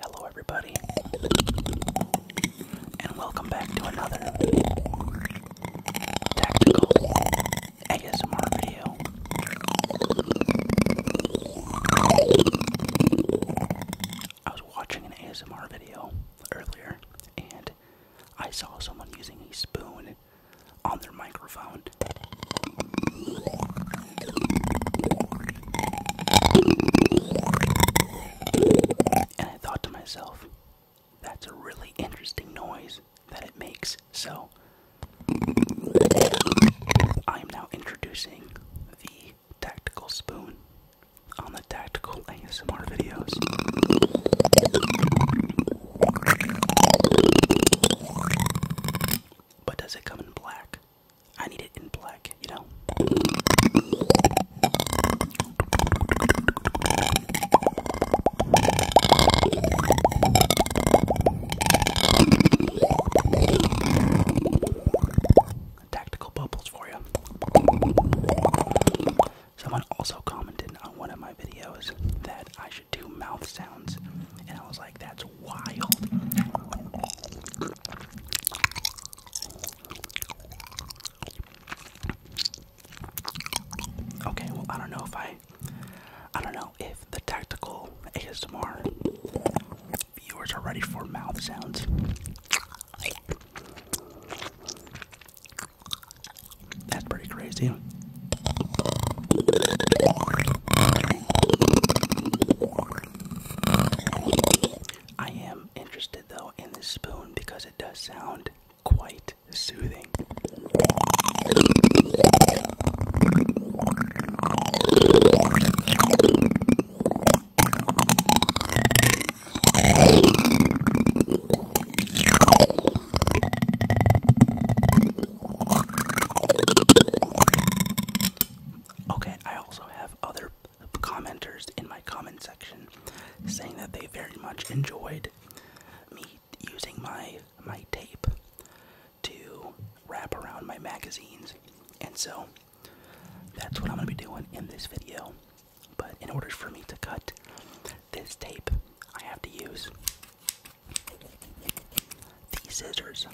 Hello, everybody, and welcome back to another tactical ASMR video. I was watching an ASMR video earlier, and I saw someone using a spoon on their microphone. And I thought to myself, that's a really interesting noise that it makes. So, I am now introducing the tactical spoon on the tactical ASMR videos. But does it come in black? I need it in black, you know? Tactical bubbles for you. Someone also commented on one of my videos that I should do mouth sounds, and I was like, that's wild. Okay, well, I don't know if I. I don't know if the tactical ASMR viewers are ready for mouth sounds. That's pretty crazy. I am interested though in this spoon because it does sound quite soothing. Okay, I also have other commenters in my comment section saying that they very much enjoyed me using my my tape to wrap around my magazines. And so that's what I'm going to be doing in this video. But in order for me to cut this tape, I have to use these scissors.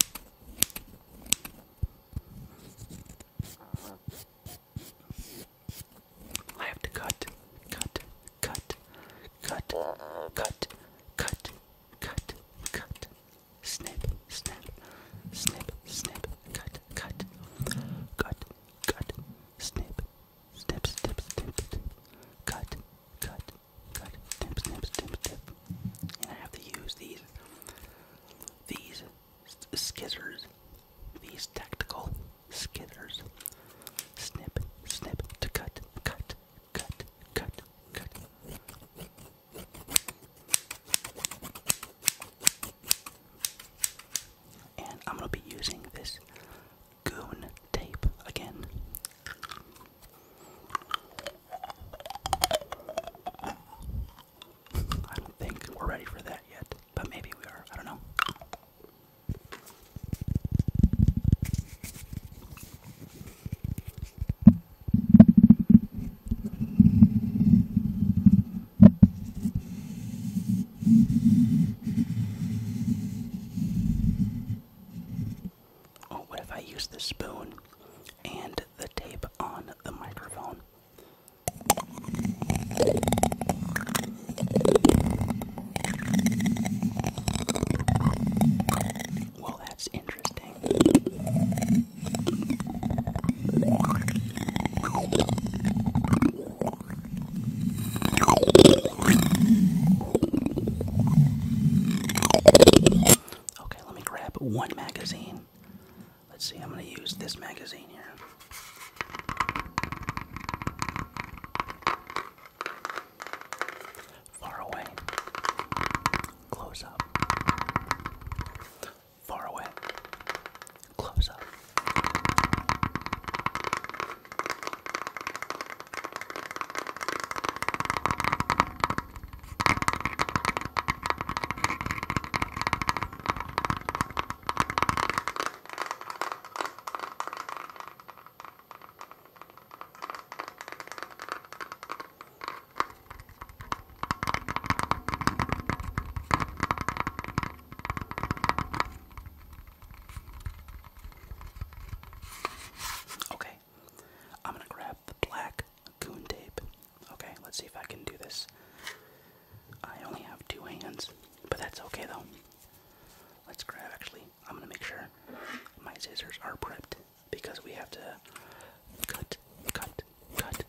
I have to cut, cut, cut, cut, cut, cut, cut, cut, snip, snap, snip, snip, cut, cut, cut, cut, snip, snip, snip, snip, snip, cut, cut, cut, snip, snip, snip, snip. And I have to use these, these scissors, these tactical scissors, snip, snip to cut, cut, cut, cut, cut. And I'm going to be using this goon tape again. I don't think we're ready for that yet, but maybe we are. I don't know. Oh, what if I use the spoon and the tape on the microphone? Well, that's interesting. Okay, let me grab one magazine. Let's see, I'm going to use this magazine here. Far away. Close up. Far away. Close up. Okay, I'm gonna grab the black goon tape. Okay, let's see if I can do this. I only have two hands, but that's okay though. Let's grab actually, I'm gonna make sure my scissors are prepped because we have to cut, cut, cut,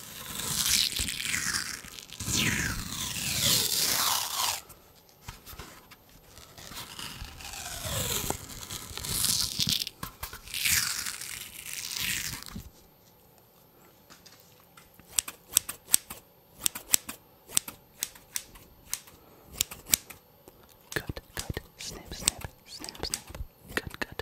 Good, good. Snip, snip, snap, snap. Good, good.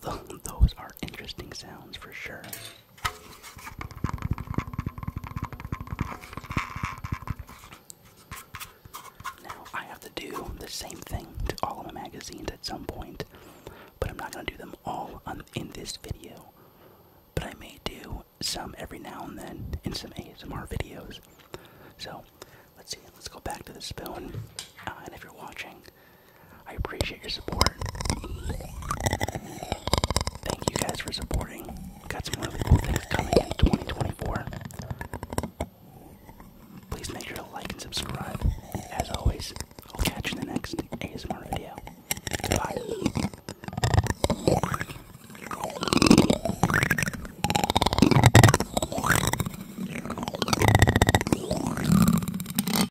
Though those are interesting sounds for sure. Now, I have to do the same thing to all of my magazines at some point, but I'm not going to do them all in this video. But I may do some every now and then in some ASMR videos. So, let's see, let's go back to the spoon. Uh, and if you're watching, I appreciate your support. Thank you guys for supporting. Got some really cool things coming in 2024. Please make sure to like and subscribe. As always, I'll catch you in the next ASMR video. Bye.